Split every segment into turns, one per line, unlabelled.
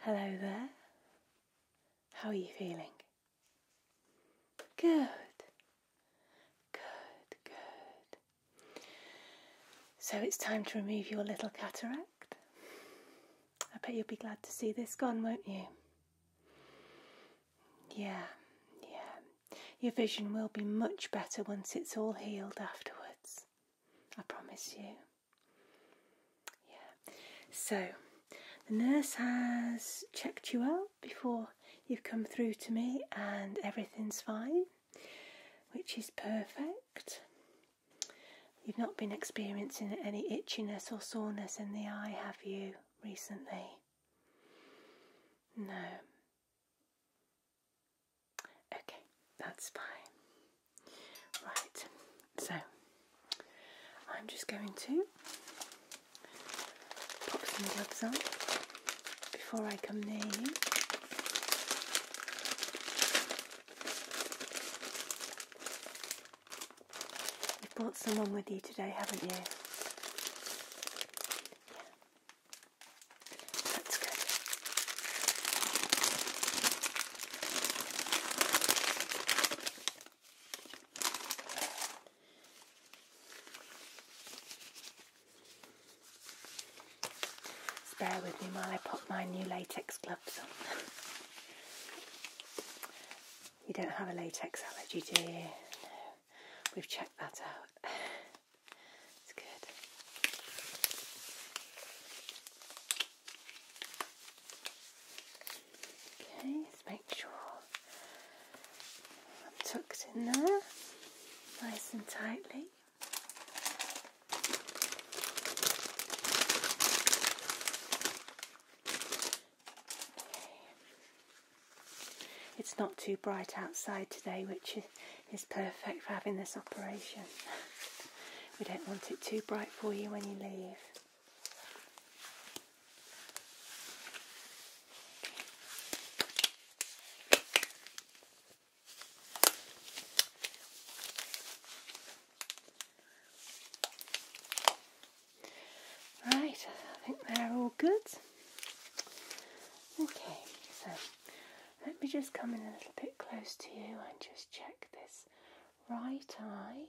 Hello there. How are you feeling? Good. Good, good. So it's time to remove your little cataract. I bet you'll be glad to see this gone, won't you? Yeah, yeah. Your vision will be much better once it's all healed afterwards. I promise you. Yeah. So, the nurse has checked you out before you've come through to me and everything's fine which is perfect. You've not been experiencing any itchiness or soreness in the eye, have you, recently? No. Okay, that's fine. Right, so I'm just going to pop some gloves on before I come in. you. brought someone with you today, haven't you? Yeah. That's good bear with me while I pop my new latex gloves on. you don't have a latex allergy, do you? We've checked that out. it's good. Okay, let's make sure tucked in there nice and tightly. It's not too bright outside today, which is, is perfect for having this operation. we don't want it too bright for you when you leave. Right, I think they're all good. Okay, so let me just come in a little bit close to you and just check this right eye.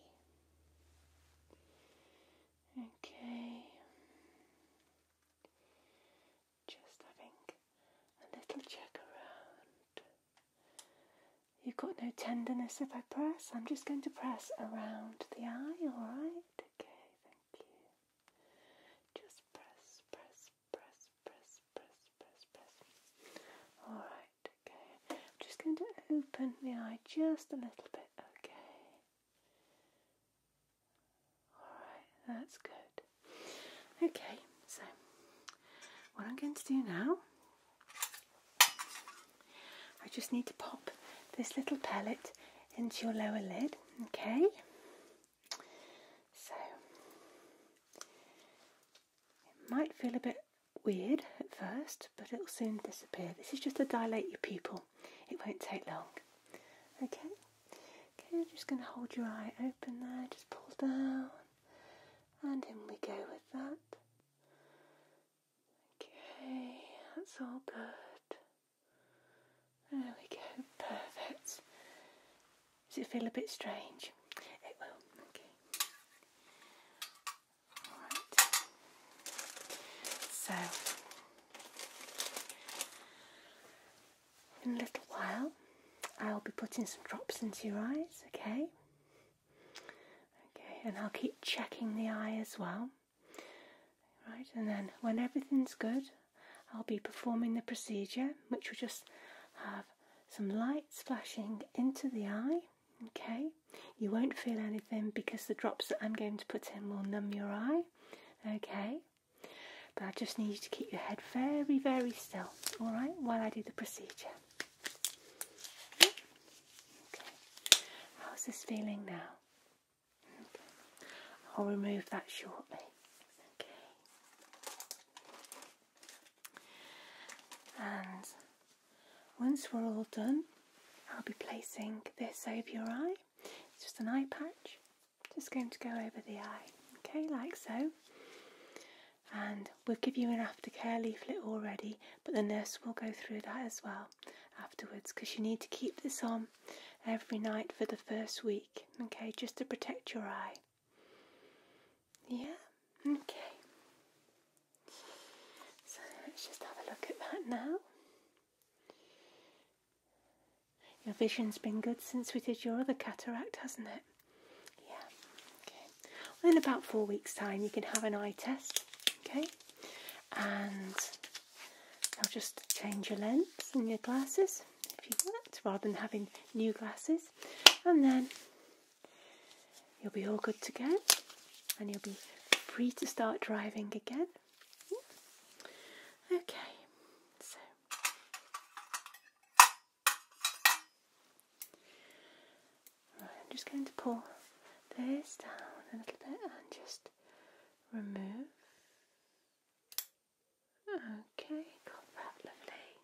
Okay. Just having a little check around. You've got no tenderness if I press. I'm just going to press around the eye, alright? Okay, thank you. Just press, press, press, press, press, press, press. Alright, okay. I'm just going to open the eye just a little bit, okay? Alright, that's good. Okay, so what I'm going to do now, I just need to pop this little pellet into your lower lid, okay? So it might feel a bit weird at first, but it'll soon disappear. This is just to dilate your pupil it won't take long. Okay? Okay, I'm just going to hold your eye open there, just pull down, and in we go with that. Okay, that's all good. There we go, perfect. Does it feel a bit strange? It will, okay. Alright. So, in a little while, I'll be putting some drops into your eyes, okay? Okay, and I'll keep checking the eye as well. Right, and then when everything's good, I'll be performing the procedure, which will just have some lights flashing into the eye. Okay, you won't feel anything because the drops that I'm going to put in will numb your eye. Okay, but I just need you to keep your head very, very still, all right, while I do the procedure. how's this feeling now? I'll remove that shortly. and once we're all done, I'll be placing this over your eye. It's just an eye patch. Just going to go over the eye, okay, like so. And we'll give you an aftercare leaflet already, but the nurse will go through that as well afterwards because you need to keep this on every night for the first week, okay, just to protect your eye. Yeah, okay. So let's just have a look at that now. Your vision's been good since we did your other cataract, hasn't it? Yeah. Okay. Well, in about four weeks' time, you can have an eye test. Okay. And i will just change your lens and your glasses if you want, rather than having new glasses. And then you'll be all good to go, and you'll be free to start driving again. Okay, so I'm just going to pull this down a little bit and just remove. Okay, got that lovely.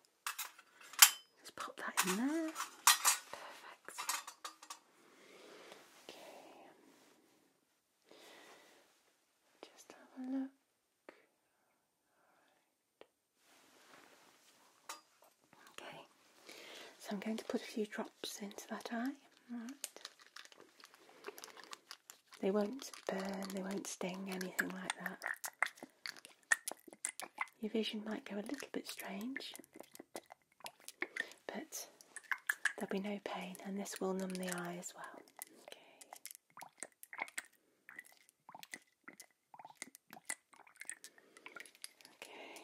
pop that in there. Perfect. Okay. Just have a look. Okay, so I'm going to put a few drops into that eye. All right. They won't burn, they won't sting, anything like that. Your vision might go a little bit strange, but there'll be no pain, and this will numb the eye as well. Okay. Okay.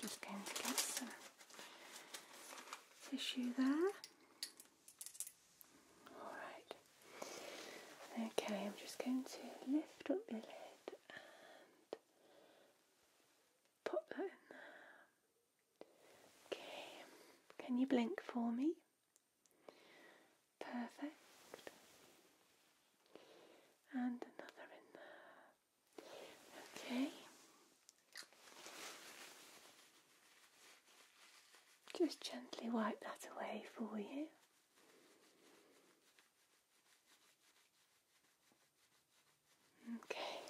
Just going to get some tissue there. All right. Okay, I'm just going to lift up the lid and Pop that in there. Okay, can you blink for me? Perfect. And another in there. Okay. Just gently wipe that away for you. Okay,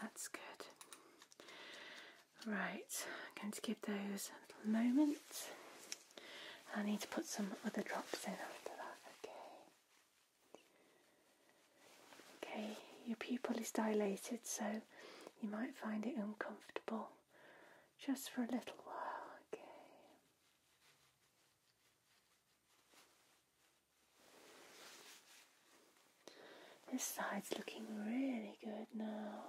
that's good. Right, I'm going to give those a little moment. I need to put some other drops in after that, okay? Okay, your pupil is dilated, so you might find it uncomfortable just for a little while, okay? This side's looking really good now.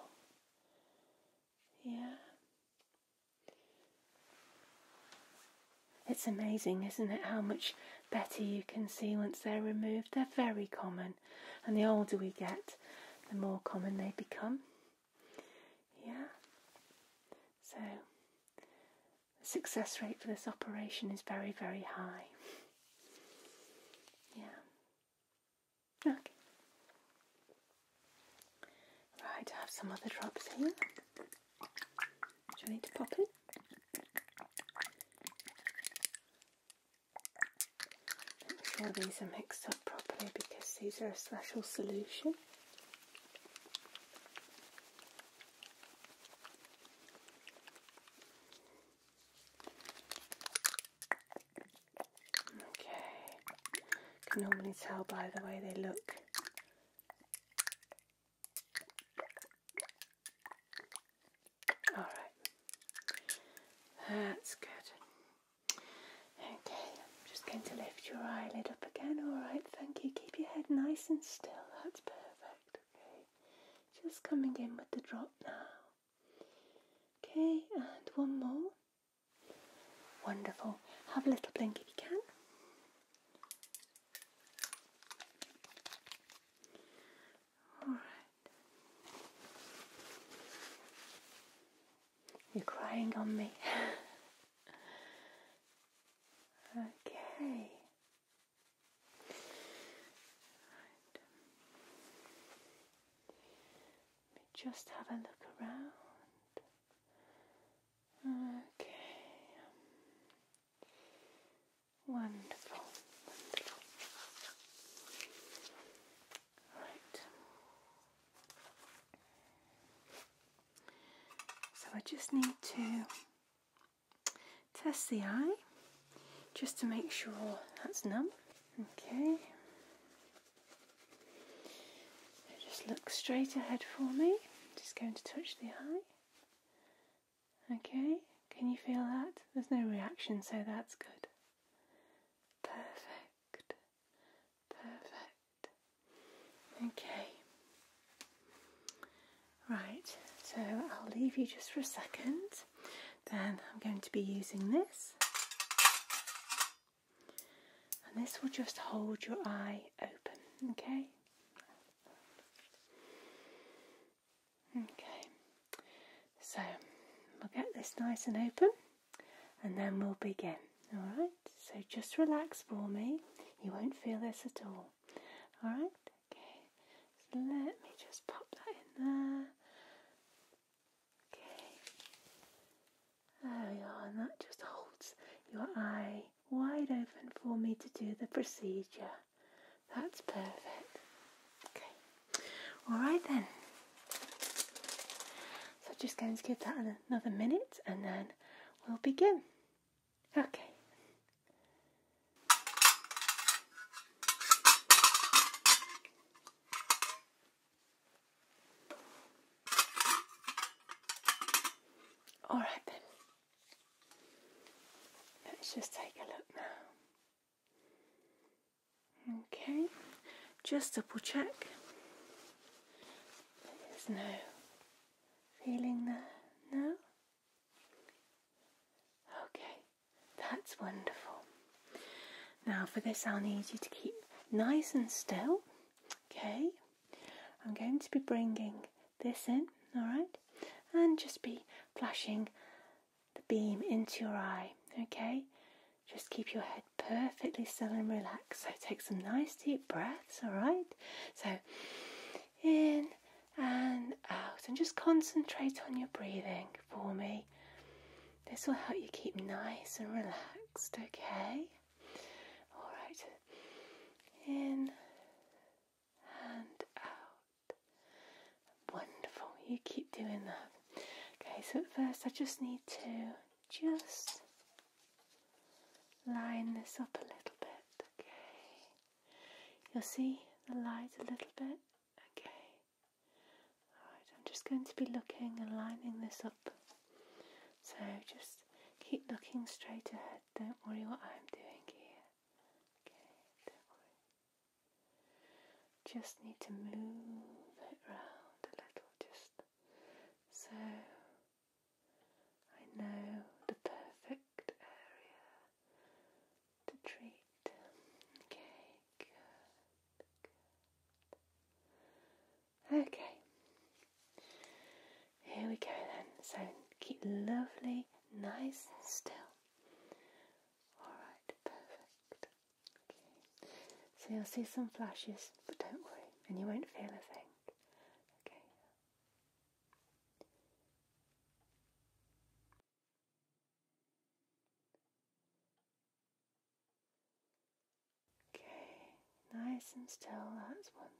Yeah. It's amazing, isn't it, how much better you can see once they're removed. They're very common, and the older we get, the more common they become. Yeah? So, the success rate for this operation is very, very high. Yeah. Okay. Right, I have some other drops here. Do I need to pop it? Make sure these are mixed up properly because these are a special solution. Okay, can normally tell by the way they look. All right, that's good. Okay, I'm just going to lift your eyelid up again. Alright, thank you. Keep your head nice and still. That's perfect. Okay, just coming in with the drop now. Okay, and one more. Wonderful. Have a little blink if you can. Alright. You're crying on me. okay. Let me just have a look around. Okay. Wonderful, wonderful. Right. So I just need to test the eye just to make sure that's numb. Okay. just look straight ahead for me. just going to touch the eye. Okay. Can you feel that? There's no reaction, so that's good. Perfect. Perfect. Okay. Right, so I'll leave you just for a second. Then I'm going to be using this. And this will just hold your eye open, okay? Okay, so we'll get this nice and open and then we'll begin. Alright, so just relax for me. You won't feel this at all. Alright, okay. So let me just pop that in there. Okay. There we are, and that just holds your eye wide open for me to do the procedure. That's perfect. Okay. Alright then. So just going to give that a another minute and then we'll begin. Okay. All right then. Let's just take a look now. Okay, just double check. There's no feeling there, no? Okay, that's wonderful. Now for this I'll need you to keep nice and still, okay? I'm going to be bringing this in, alright? And just be flashing the beam into your eye, okay? Just keep your head perfectly still and relaxed. So take some nice deep breaths, all right? So in and out, and just concentrate on your breathing for me. This will help you keep nice and relaxed, okay? All right. In and out. Wonderful. You keep doing that. Okay, so first I just need to just line this up a little bit, okay? You'll see the light a little bit, okay? Alright, I'm just going to be looking and lining this up. So just keep looking straight ahead, don't worry what I'm doing here. Okay, don't worry. Just need to move it round a little, just so I know the perfect area to treat. Okay, good, Okay, here we go then. So keep lovely, nice still. Alright, perfect. So you'll see some flashes, but don't worry, and you won't feel a thing. Okay. Okay, nice and still, that's wonderful.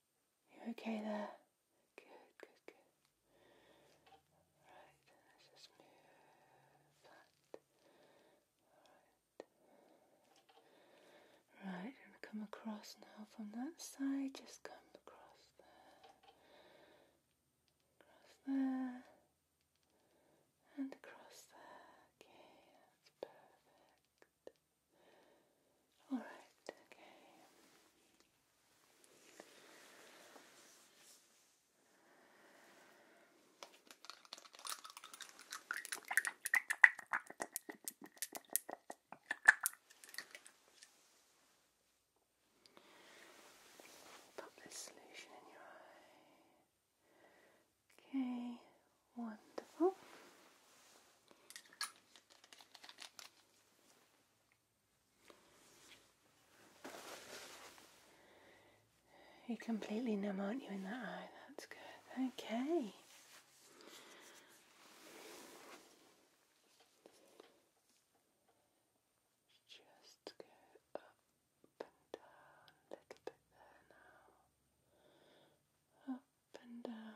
You're okay there. Good, good, good. Right, let's just move that. Right, i come across now from that side, just come across there. Across there. And across there. Okay, that's perfect. All right, okay. Pop this solution in your eye. Okay, wonderful. You're completely numb, aren't you, in that eye? That's good. Okay. Just go up and down a little bit there now. Up and down.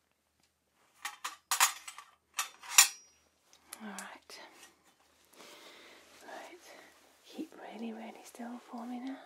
All right. Right. Keep really, really still for me now.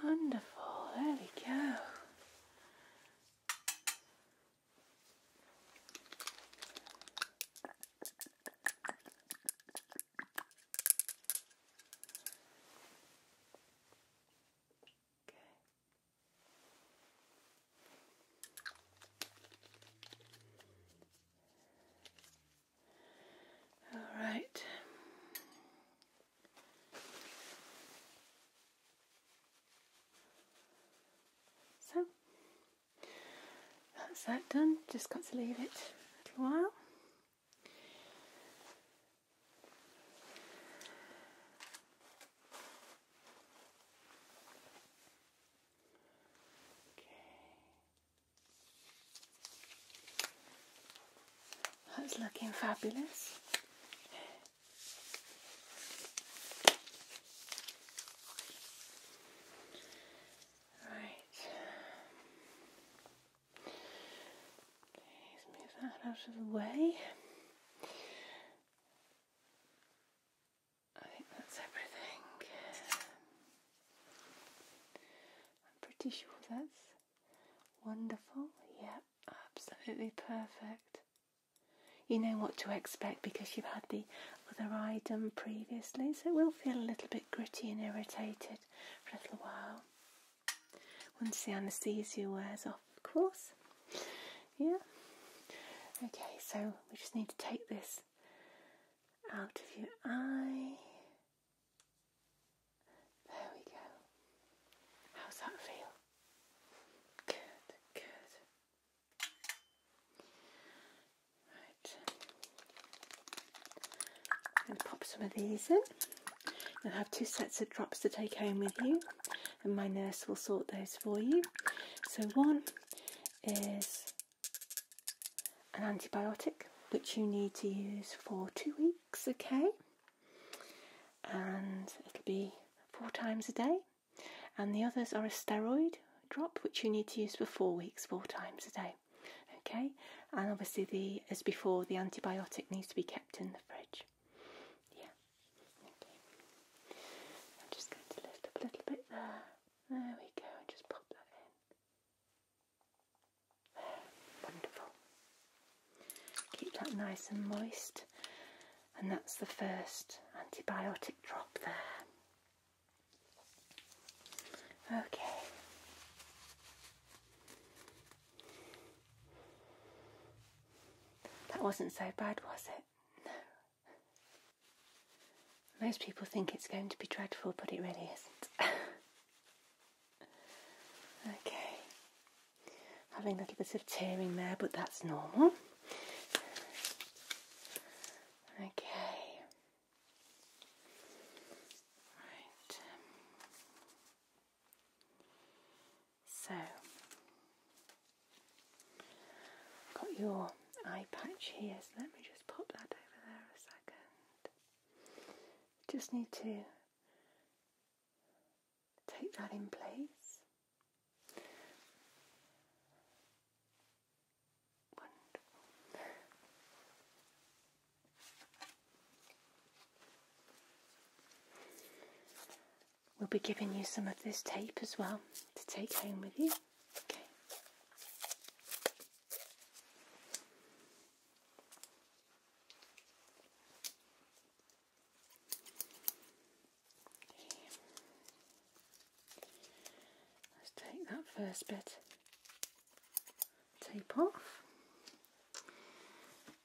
Wonderful, there we go. Okay. All right. So that's that done. Just got to leave it a little while. That's oh, looking fabulous. Right. Please move that out of the way. I think that's everything. I'm pretty sure that's wonderful. Yeah, absolutely perfect. You know what to expect because you've had the other item previously, so it will feel a little bit gritty and irritated for a little while. Once the anaesthesia wears off, of course. Yeah. Okay, so we just need to take this out of your eye. There we go. How's that feel? Good, good. Right. i pop some of these in. You'll have two sets of drops to take home with you, and my nurse will sort those for you. So, one is an antibiotic which you need to use for two weeks, okay? And it'll be four times a day. And the others are a steroid drop which you need to use for four weeks, four times a day. Okay, and obviously the as before the antibiotic needs to be kept in the fridge. Yeah. I'm just going to lift up a little bit there. There we go, and just pop that in. There. Wonderful. Keep that nice and moist. And that's the first antibiotic drop there. Okay. That wasn't so bad, was it? No. Most people think it's going to be dreadful, but it really isn't. okay. Having a little bit of tearing there, but that's normal. Okay. Right. So, got your eye patch here, so let me just pop that over there a second. Just need to take that in place. We'll be giving you some of this tape as well to take home with you. Let's take that first bit tape off.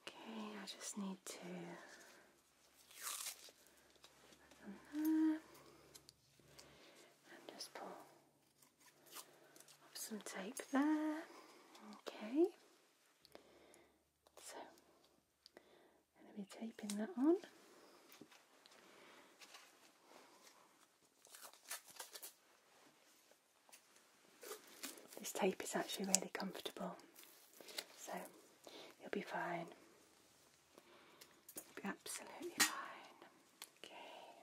Okay, I just need to and just pull some tape there. Okay. So i going to be taping that on. This tape is actually really comfortable, so you'll be fine. absolutely fine. Okay.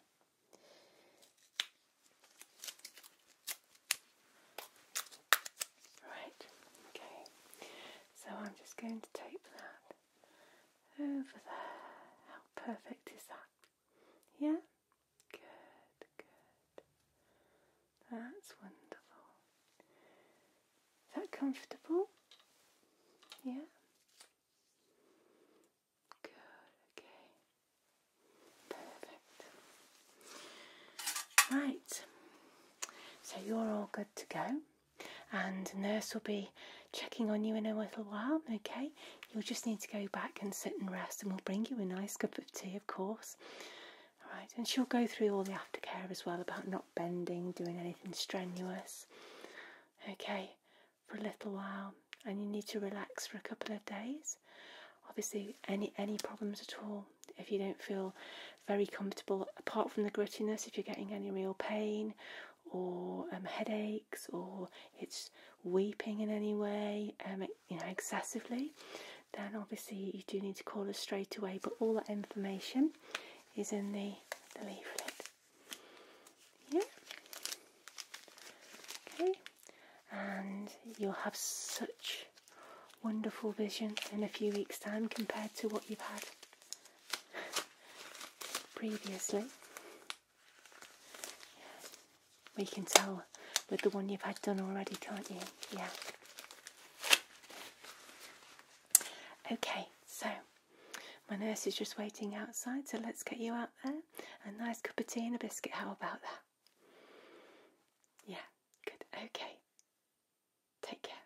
Right, okay. So I'm just going to tape that over there. How perfect is that? Yeah? Good, good. That's wonderful. Is that comfortable? Yeah? Good, okay. Perfect. Right. So you're all good to go and nurse will be checking on you in a little while, okay? You'll just need to go back and sit and rest, and we'll bring you a nice cup of tea, of course. All right, and she'll go through all the aftercare as well about not bending, doing anything strenuous, okay, for a little while. And you need to relax for a couple of days. Obviously, any any problems at all, if you don't feel very comfortable, apart from the grittiness, if you're getting any real pain or um, headache or it's weeping in any way, um, you know, excessively, then obviously you do need to call us straight away. But all that information is in the, the leaflet. Yeah. Okay. And you'll have such wonderful vision in a few weeks' time compared to what you've had previously. We can tell with the one you've had done already, can't you? Yeah. Okay, so my nurse is just waiting outside, so let's get you out there. A nice cup of tea and a biscuit, how about that? Yeah, good. Okay. Take care.